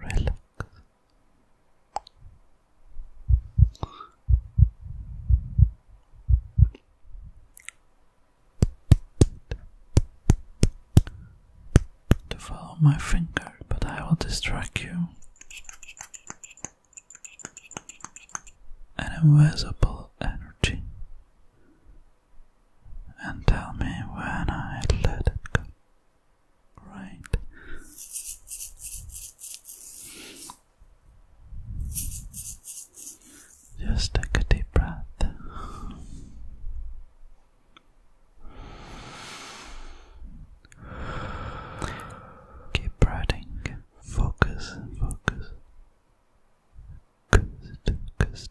relax. To follow my finger, but I will distract you. An invisible energy, and tell me when I let it go. Right. Just take a deep breath. Keep breathing. Focus, focus. Focus, focus, focus.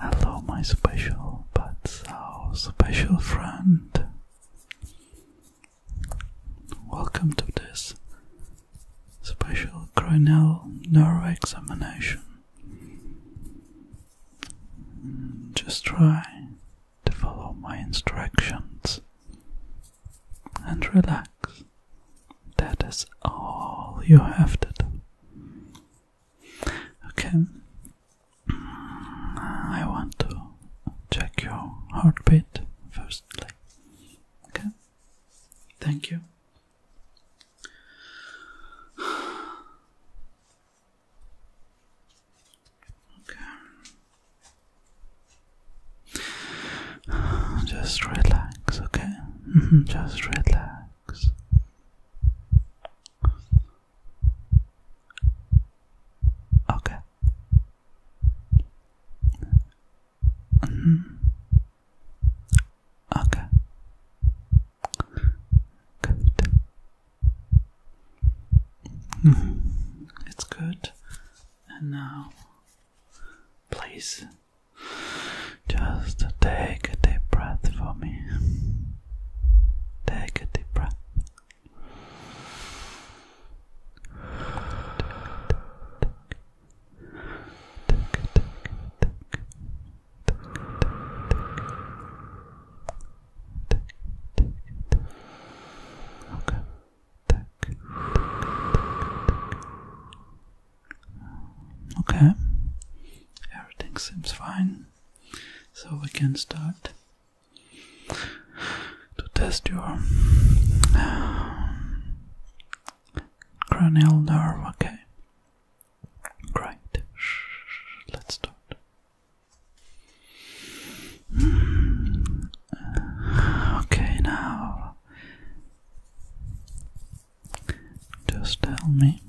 Hello, my special but so special friend. Welcome to this special cranial nerve examination. Just try to follow my instructions and relax. That is all you have to do. Okay. Mm, I want to check your heartbeat first. Okay. Thank you. Okay. Just relax, okay? Just relax. Okay. Mm-hmm. Okay. Good. Mm-hmm. It's good. And now, please just take a deep breath for me. Take a deep breath. Okay. Okay. Everything seems fine so we can start to test your cranial nerve. Okay, great. Let's start. Okay, now just tell me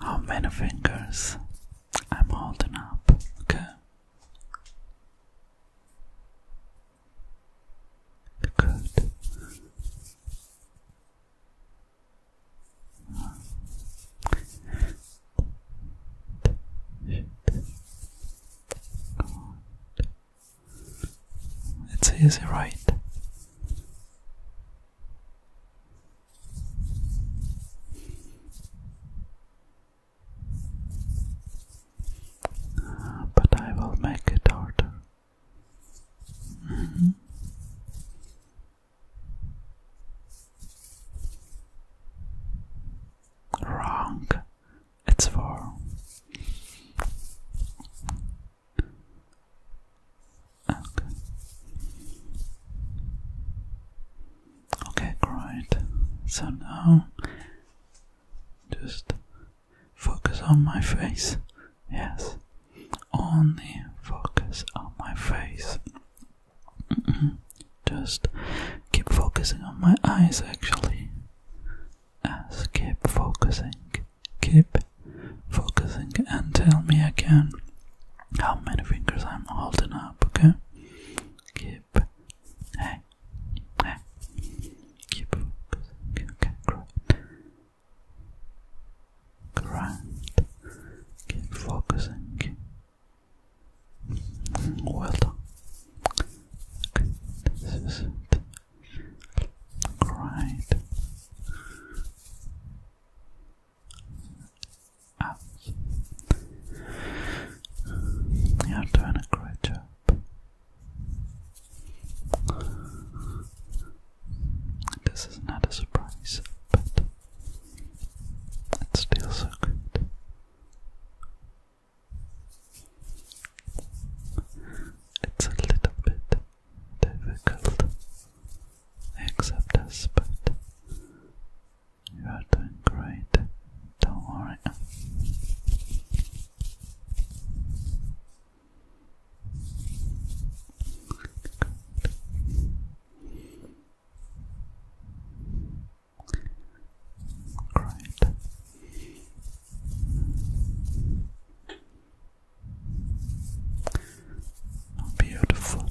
how many fingers I'm holding up, okay? Good. It's easy, right? but I will make it harder. Mm-hmm. Wrong. It's four. Okay. Okay, great. So now just focus on my face. Yes. Only focus on my face. Mm-hmm. Just keep focusing on my eyes actually. As keep focusing Keep focusing and tell me again how many fingers I'm holding up, okay? Keep. Hey. Hey. Keep focusing. Okay, great. Great. Keep focusing. Well done. this is it. Great. Ah. are doing a great job. This is not a surprise, but it's still so good. It's a little bit difficult Accept us, but you are doing great. Don't worry. Great. Beautiful.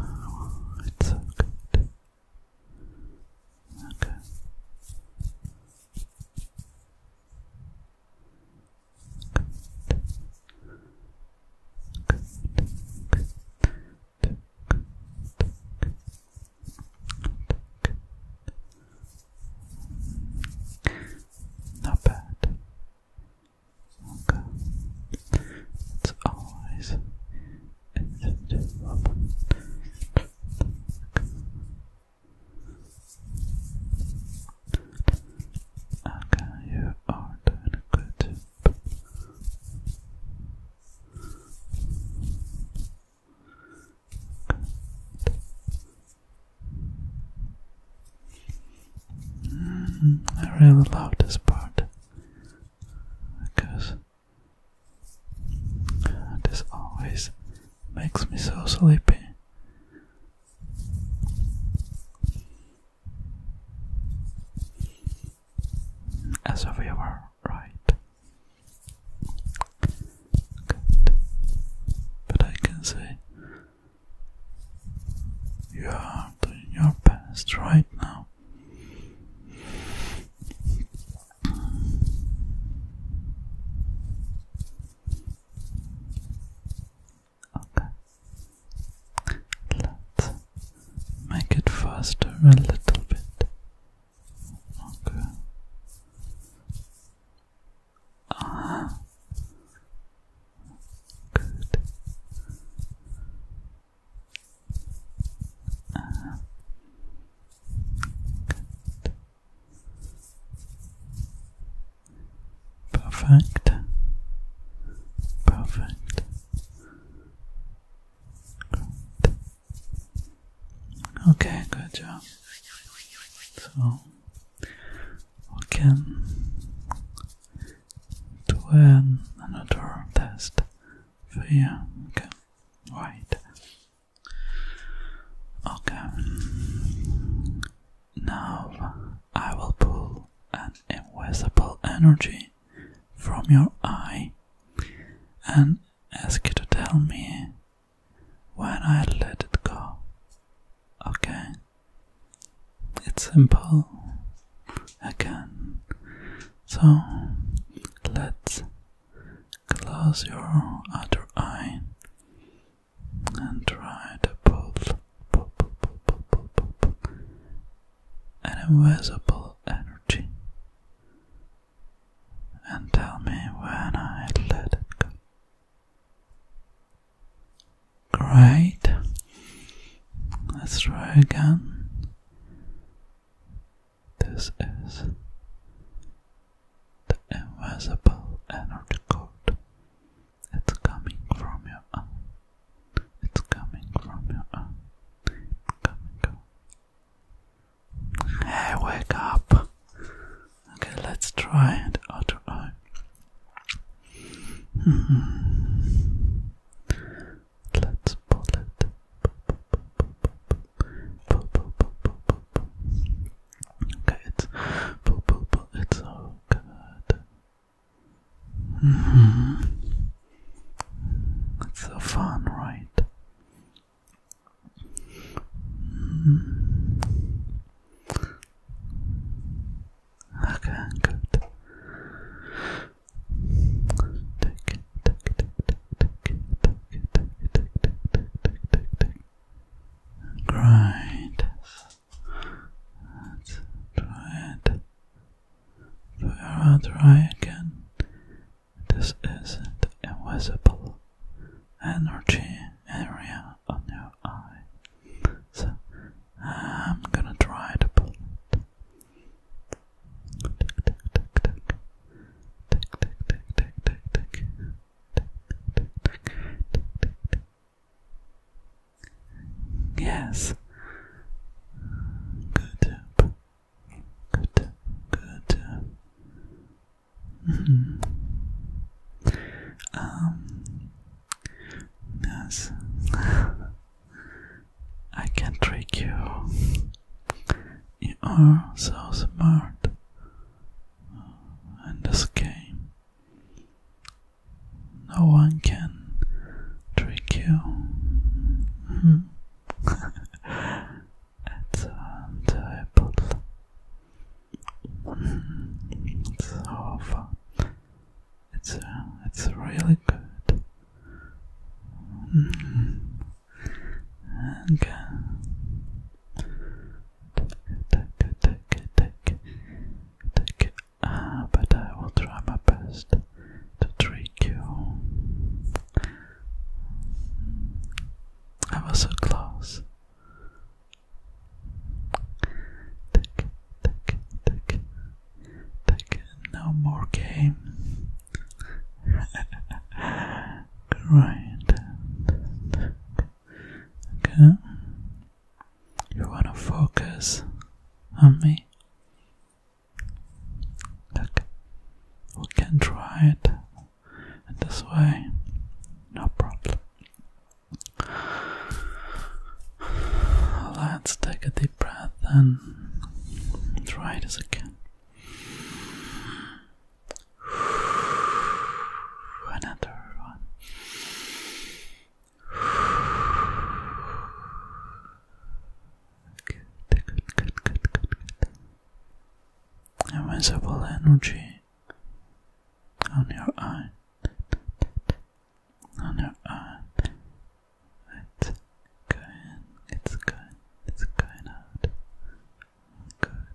Oh, it's so good. Okay. Not bad. Okay. It's always Okay, you are doing good. Mm, I really love this part because this always makes me so sleepy. As if we were right Good. But I can say you are doing your best right now. Okay. Let's make it faster a little bit. Okay. Good. Perfect. Perfect. Good. Okay, good job. So Okay. can do an, another test for you. Okay, right. Okay, now I will pull an invisible energy from your eye and ask you to tell me when I let it go. Okay? It's simple again. So let's close your other eye and try to pull, pull. an invisible energy and tell me when I let it go. Great. Let's try again. This is the invisible energy code. It's coming from your It's coming from your Hey, wake up. Okay, let's try the other eye. Let's pull it. Okay, it's it's all good. Hmm. It's so fun, right? Hmm. Okay, good. Tick, tick, tick, tick, tick, tick, tick, tick, tick, tick, tick, tick. Great. Let's try it. Vera, try again. This is the invisible energy area on your her So I'm gonna try to pull it. Yes. Good Good Good yes, mm-hmm. um, I can trick you. You are so smart in this game. No one can trick you. Mm-hmm. it's undoable. It's awful. It's uh, it's really good. Mm-hmm. Okay. Take it, take it, take take Ah, but I will try my best to trick you. I was so close. Take, take, take, take. No more game. Grind. Okay. You wanna focus on me? Okay. We can try it this way. No problem. Let's take a deep breath and try this again. Another one. Good, good, good, good, good, good. Invincible energy on your own, on your own. Let's go in, let's go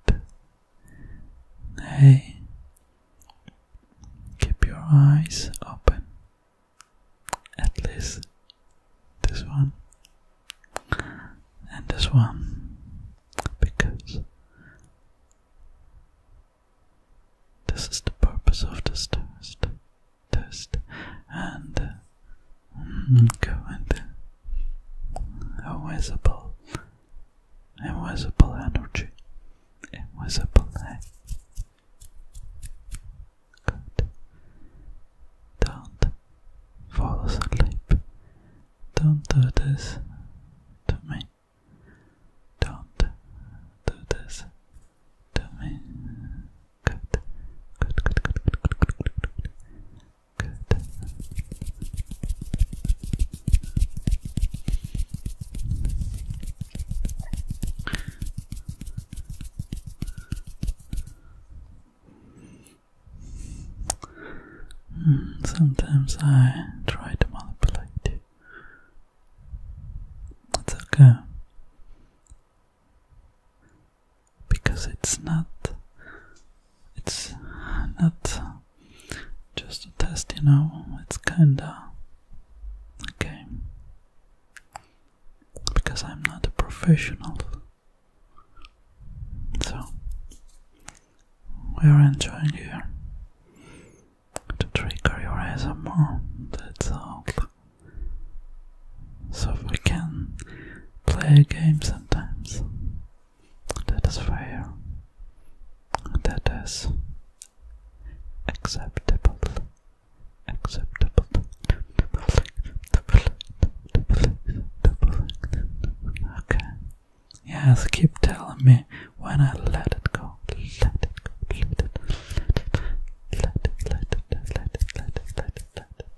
Good. Hey, keep your eyes open. At least this one and this one because this is the purpose of this test. Test and mm, go and uh, invisible, invisible energy, invisible Don't fall asleep. Don't do this to me. Don't do this to me. good, good, good, good, good. Good. Hmm, sometimes I try to manipulate you. That's okay. Because it's not it's not just a test, you know, it's kinda okay Because I'm not a professional. So we're enjoying here to trigger your ASMR, that's all. So we can play games sometimes. That is fair. That is acceptable. Acceptable. Okay. Yes, keep telling me when I let it go. Let it go. Let it let it let it let it let it let it let it let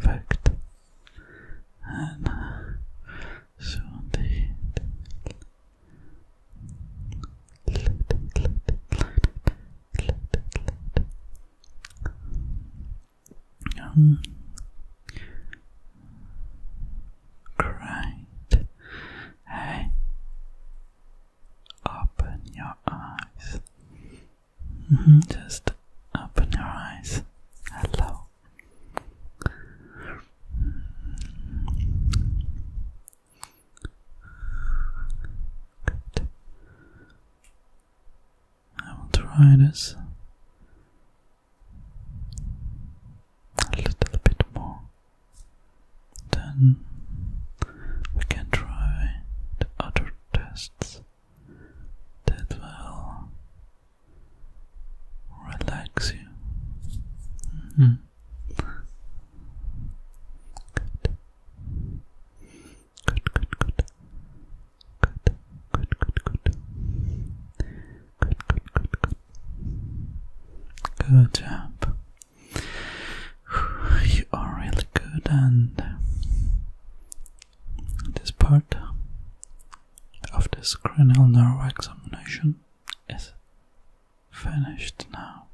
Perfect. And uh, so they um, Great. Hey, open your eyes. -hmm. Just open your eyes. Hello. I will try this a little bit more. Then we can try the other tests that will relax you. Hmm. good, good. Good, good, good, good. Good, good, good, good. Good job. You are really good and this part of this cranial nerve examination is finished now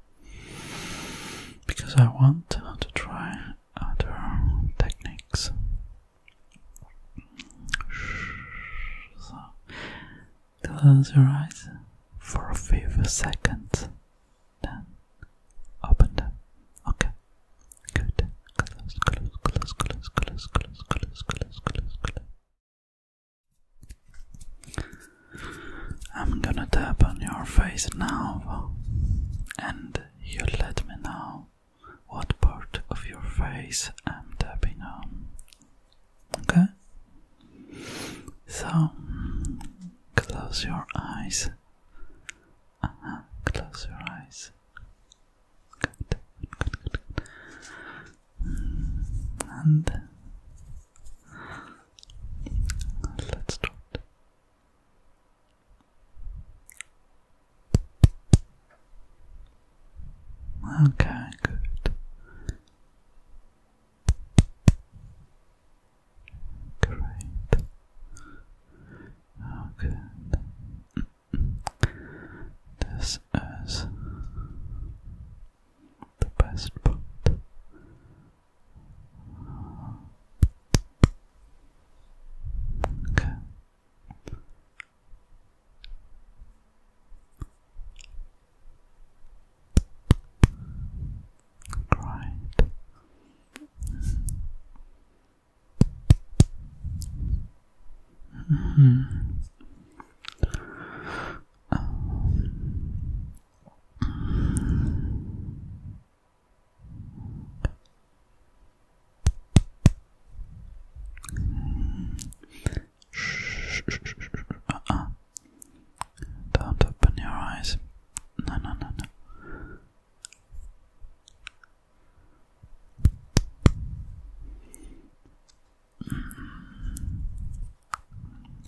because I want to try other techniques. So, close your eyes for a few seconds, then open them. Okay, good. Close, close, close, close, close, close, close, close, close, close. I'm gonna tap on your face now, and you let me know what part of your face I'm tapping on. Okay? So, close your eyes. Uh-huh, close your eyes. Good, good, good, And uh, let's start. Okay, good. Great. Oh, this is the best part. Okay. Right. Mm -hmm. Shh, shh, shh, shh. Uh -uh. Don't open your eyes. No, no, no, no.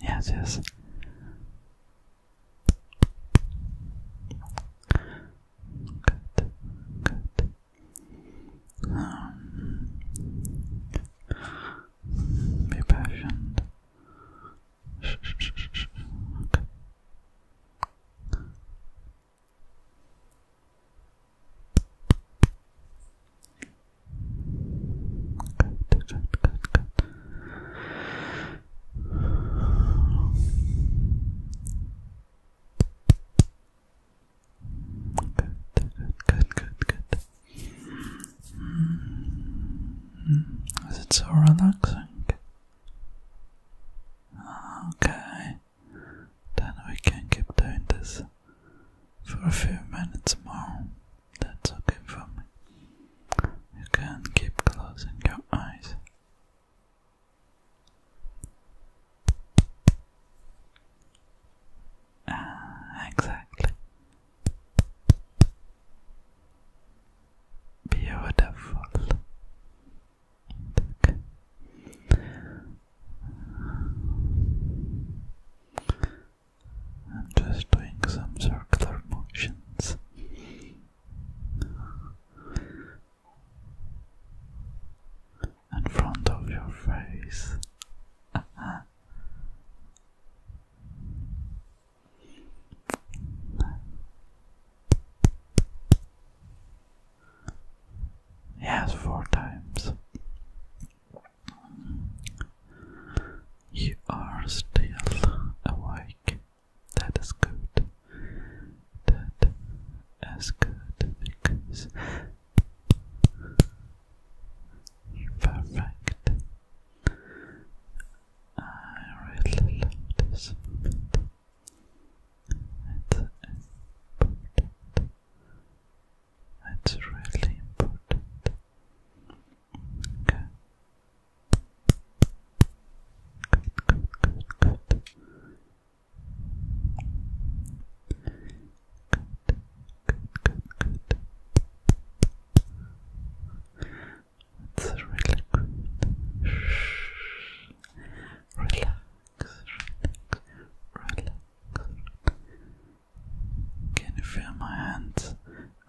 Yes, yes. Good, good. Um, be patient. Shh, shh, shh, shh. Okay. Good, good, good, good. Good, good, good, good, good. Is it so relaxing? Okay. Then we can keep doing this for a few minutes more. That's okay for me. You can keep closing your eyes. Ah, exactly. Beautiful. Okay. I'm just doing some circular motions. In front of your face. Yes, four times. You are still awake. That is good. That is good because perfect. I really love this It's important that's really important. Okay. Good, good, good, good. Good, good, good, good. That's really good. Shh. Relax, relax, relax. Can you feel my hands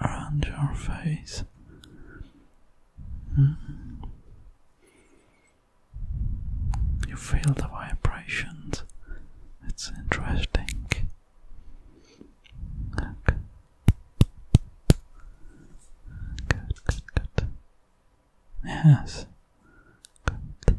around your face? Hmm? You feel the vibrations. It's interesting. Good, good, good. Yes. Good.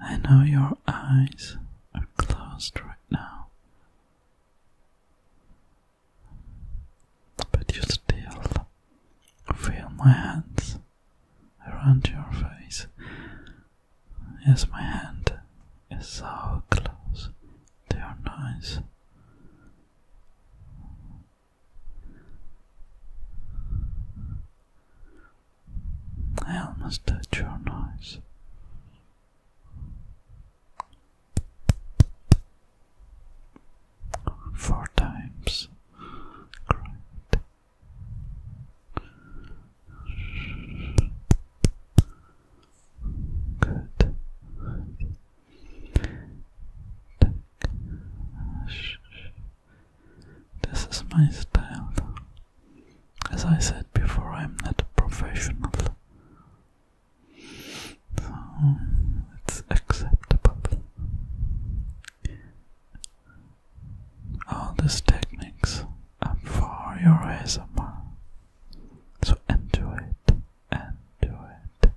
I know your eyes are closed right now, but you still feel my hands around your face. Yes, my hand is so close they are nice. I almost touch your nose. Four times. Great. Good. This is my style. As I said before, I'm not a professional. So it's acceptable. All these techniques I'm for your ASMR. So enjoy it, enjoy it,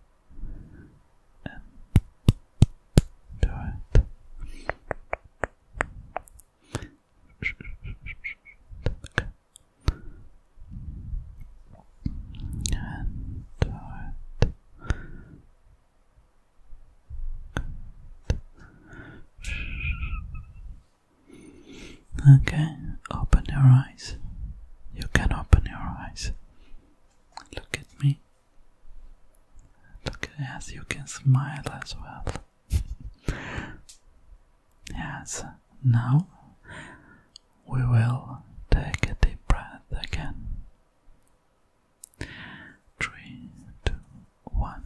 enjoy it. Okay. it. Okay, open your eyes. You can open your eyes. Look at me. Look yes, you can smile as well. yes, now we will take a deep breath again. Three, two, one.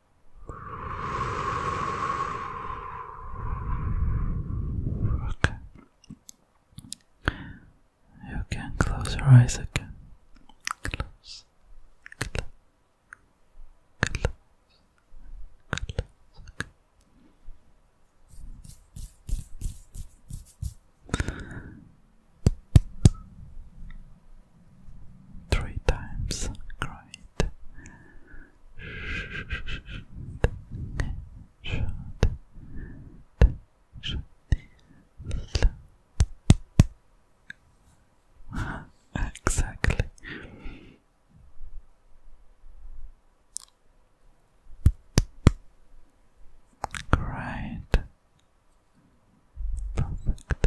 Okay. You can close your eyes again. Close. Close. Close. Close. Three times crying. Exactly. Great. Perfect.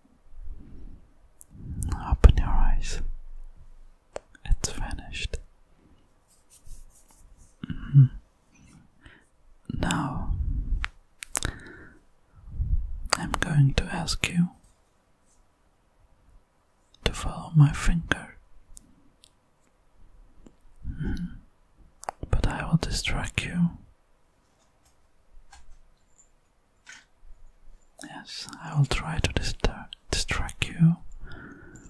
Open your eyes. It's vanished. Mm-hmm. Now, I'm going to ask you to follow my finger. Mm-hmm. But I will distract you Yes, I will try to distract you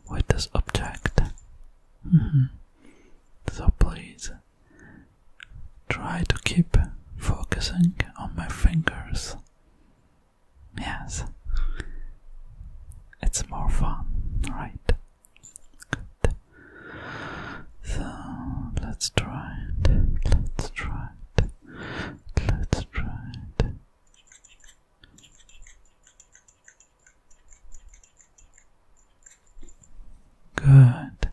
with this object. Mm-hmm. So please try to keep focusing on my fingers. Yes, it's more fun, right? Good. So let's try it. Let's try it. Let's try it. Good.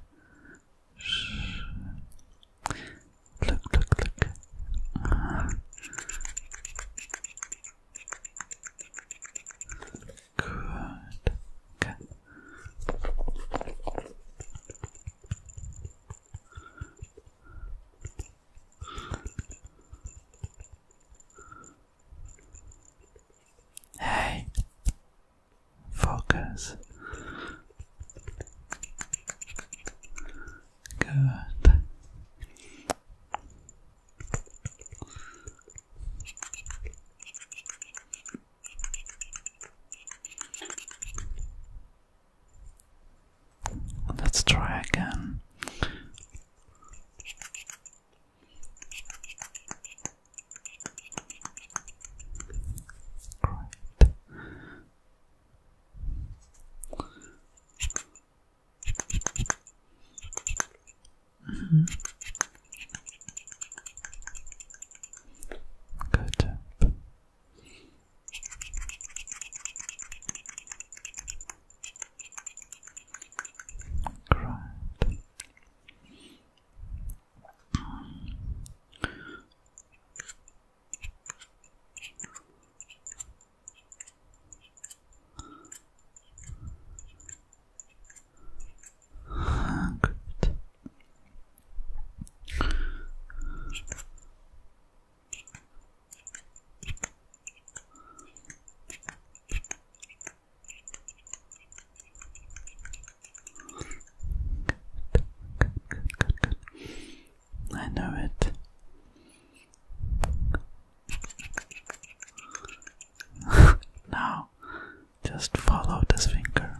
Look, look, look. Good. Hey, focus. Good. Let's try again. Mm-hmm. Good. Right. Good. I know it. now, just follow this finger.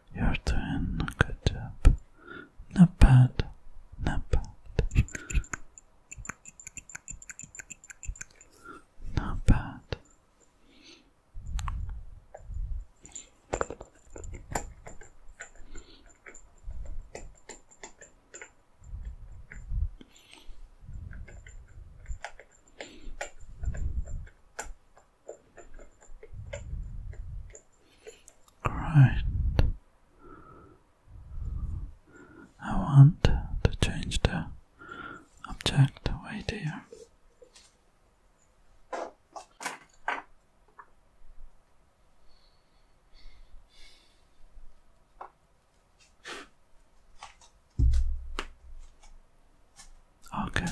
You're doing a Good job. Not bad. Not bad. Not bad. Alright. I want to change the object right here. Okay.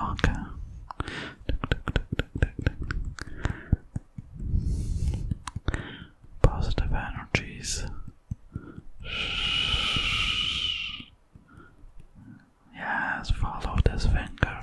Okay. Positive energies. Yes, follow this finger.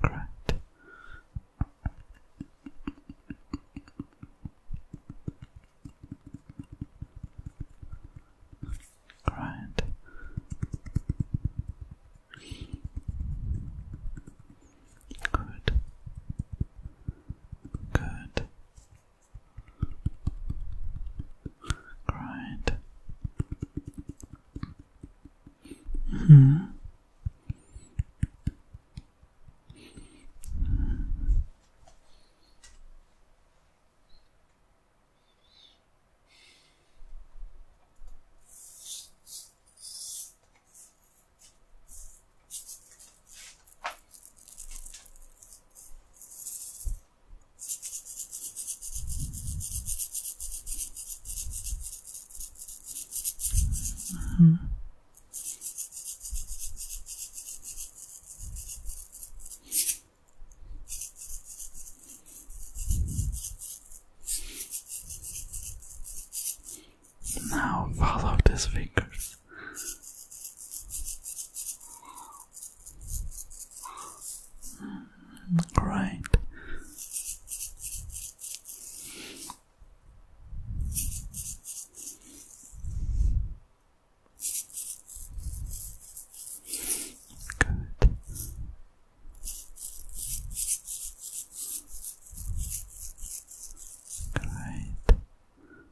Correct. Grind. Good. Good. Right. Hmm. -hmm. Now follow these fingers Right. Good. Great. Great.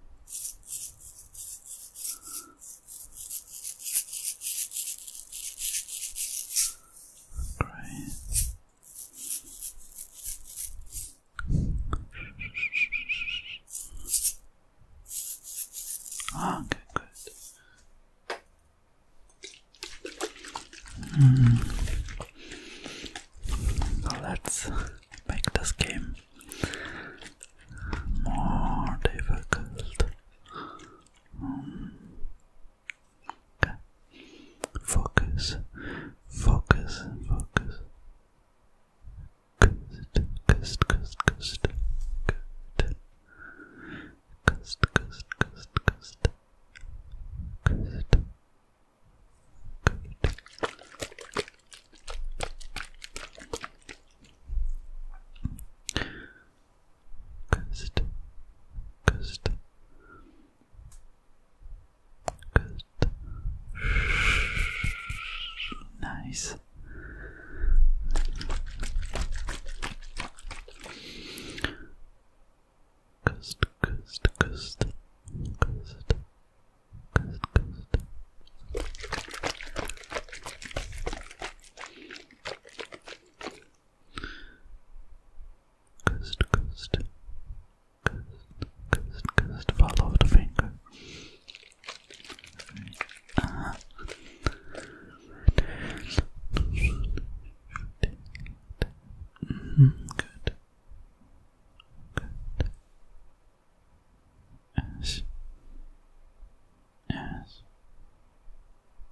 Ah, good, good. Hmm. let's make this game more difficult. Okay. Focus, focus, focus. Good, good, good, good, good. Good, good, good, good. Good. Good. Ghost, ghost, ghost. Nice. Ghost, ghost, ghost, ghost, ghost, ghost, Coast, coast, coast, coast, coast, fall the finger. Uh Good. Good. S S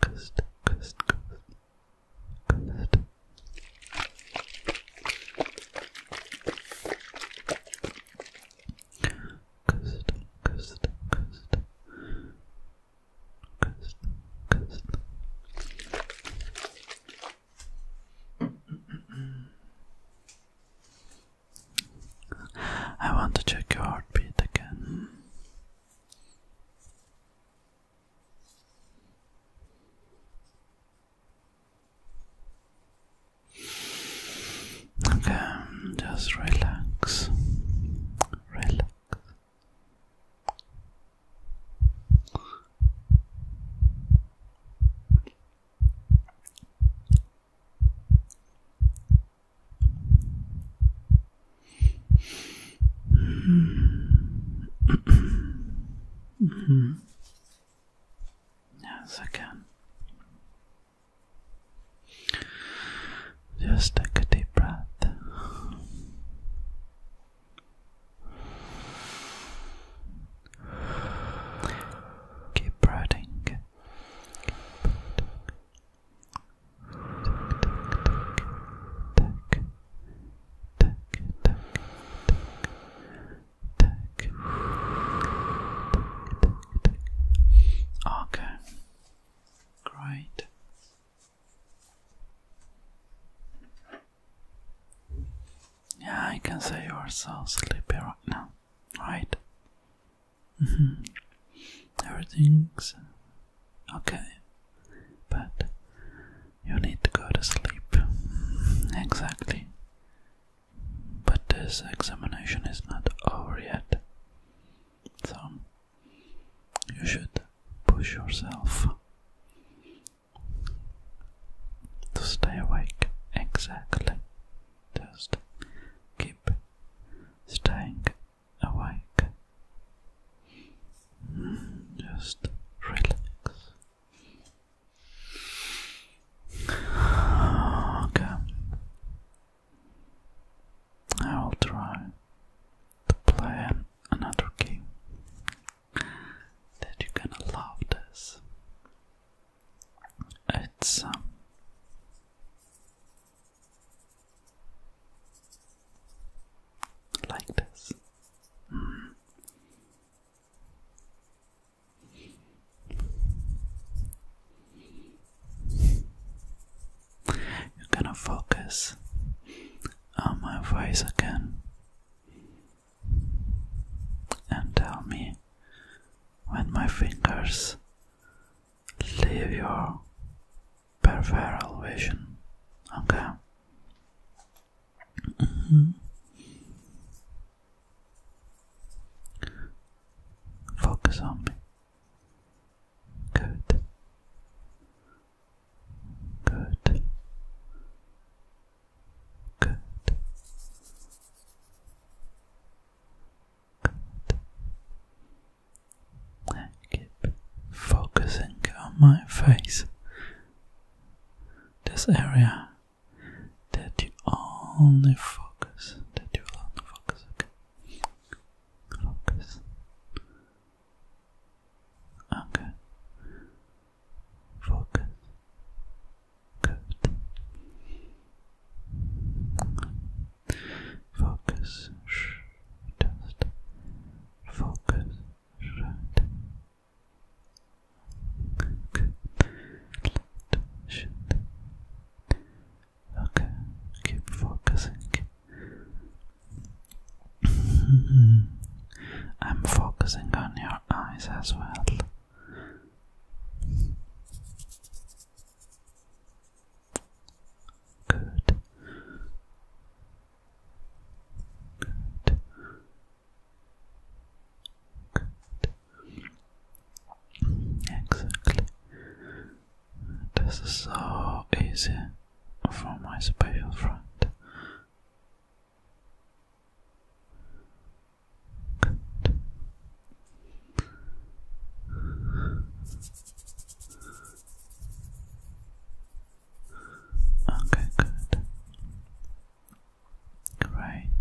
Cust Cust Cust Cust Cust Cust Cust Cust I want to check your heartbeat again. Okay, just relax. Relax. Yes, I can. Just take a deep breath. Keep breathing. Okay, great. Yeah, I can say you are so sleepy right now, right? Everything's mm-hmm. okay, but you need to go to sleep. Exactly. But this examination is not over yet, so you should push yourself to stay awake. Exactly. Just keep staying awake. Mm, just relax. Okay. I will try to play another game that you're gonna love this. It's um, like this. You're gonna focus on my voice again and tell me when my fingers leave your peripheral vision. Okay. Mm-hmm. Focus on me. Good. Good. Good. Good. keep focusing on my face. This area that you only focus, that you will only focus, okay? Focus. Okay. Focus. Good. Focus. Shh. Just focus. Right. Okay. Shit. Okay. Keep focusing. I'm focusing on your eyes as well. Good. Good. Good. Exactly. This is so easy for my special friend. Good. Okay, good. Great. Okay. Okay. Okay.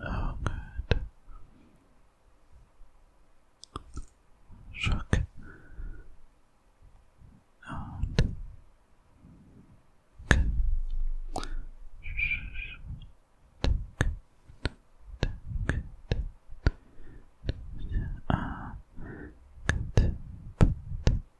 Oh, good. Shock. And tick, tick, tick, tick. Ah, good. Good.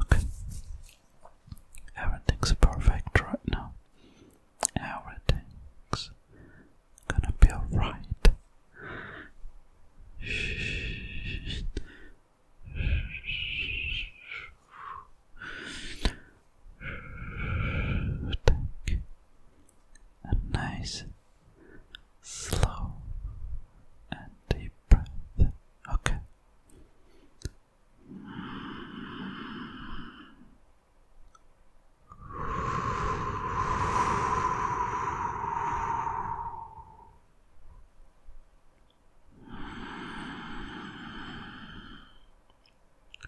Okay. Everything's perfect right now. Everything's gonna be alright. Take a nice, slow, and deep breath. Okay.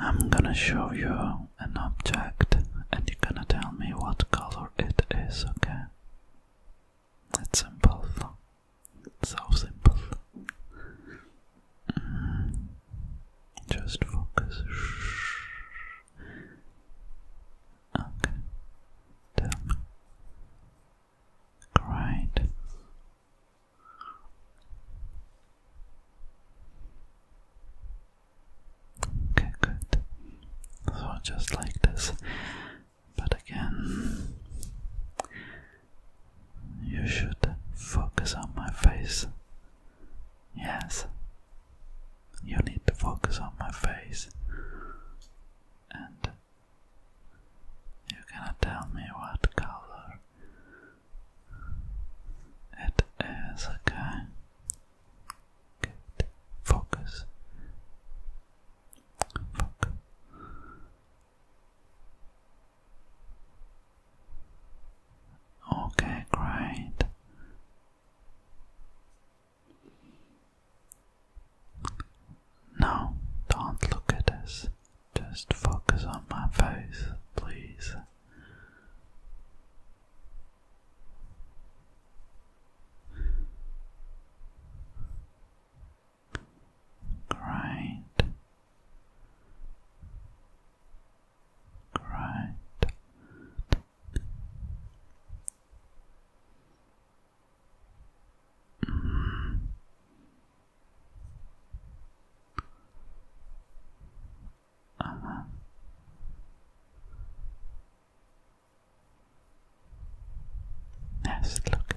I'm gonna show you an object and you're gonna tell me what color it is, okay? It's simple. It's so simple. Mm. Just focus. Okay. Then. Okay, good. So just like this. But again, you should focus on my face Yes, you need to focus on my face, and you cannot tell me what color it is, okay? Good. Focus. Focus. Okay, great. No, don't look at us. Just focus on my face, please. Great. Grind. Yes, look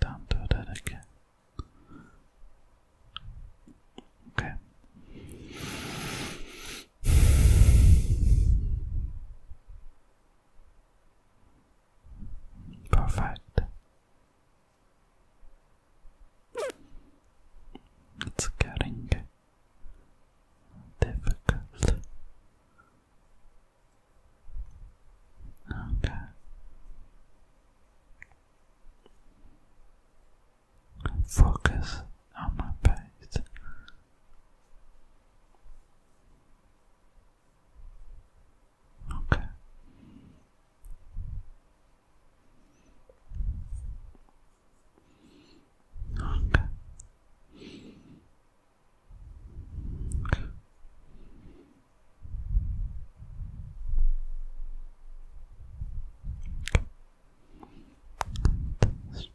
Don't do that again. Okay. Perfect. It's getting difficult. Okay. Focus on my face. Okay. Okay. Okay. Just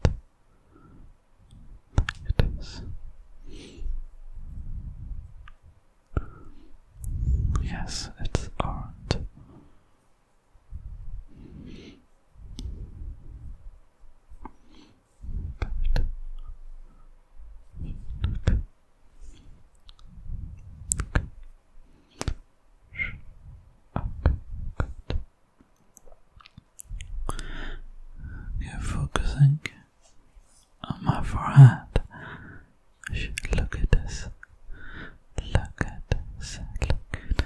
Yes, it's orange. You're focusing on my forehead. Look at this. Look at this. Look at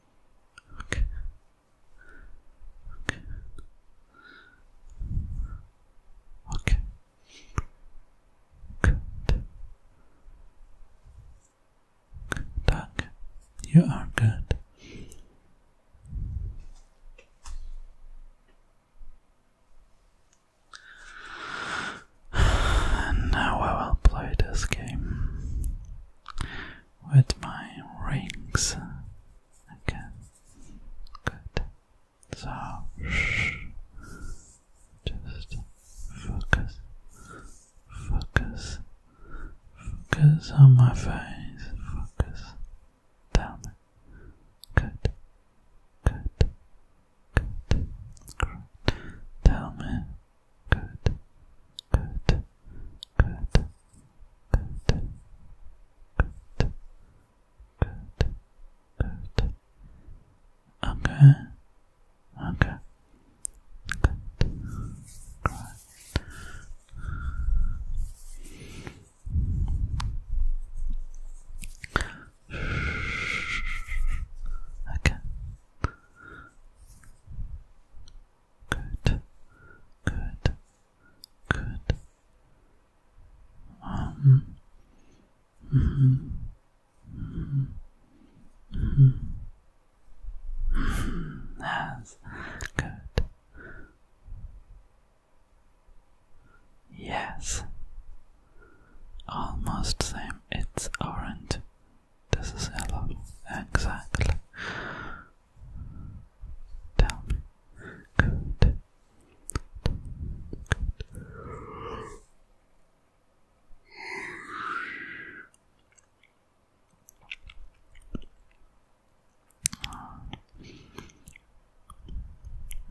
Okay. Okay. Okay. Good. Good You are good. now I will play this game with my rings. Okay, good. So, just focus, focus, focus on my face, focus. Tell me. Good, good, good, great. Tell me good, good, good, good, good, good, Okay, okay, good, Okay good, good, good. Um, hmm hmm hmm That's good. Yes, almost same. It's orange. This is hello, Exactly. Tell me. Good.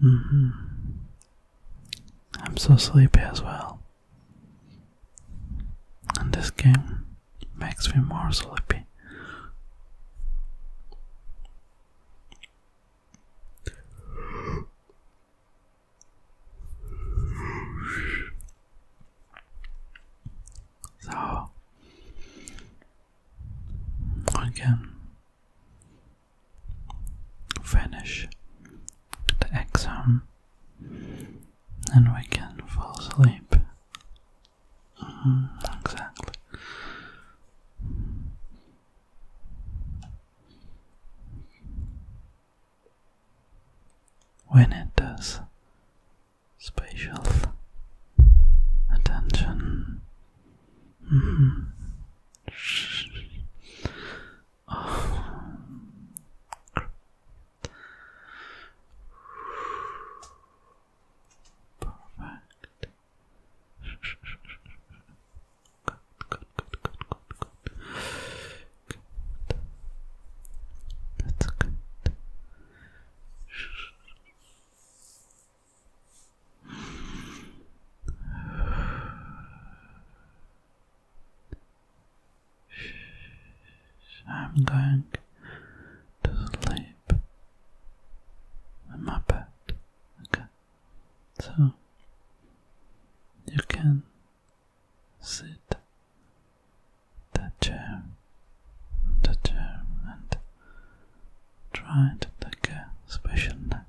Mm-hmm. I'm so sleepy as well and this game makes me more sleepy. So I can finish the exam and we can fall asleep. Mm, exactly. When it does, spatial attention. Mm. Perfect. Good, good, good, good, good, good. That's good. I'm going to sleep in my bed. Okay, so you can sit the chair, the chair, and try to take a special nap.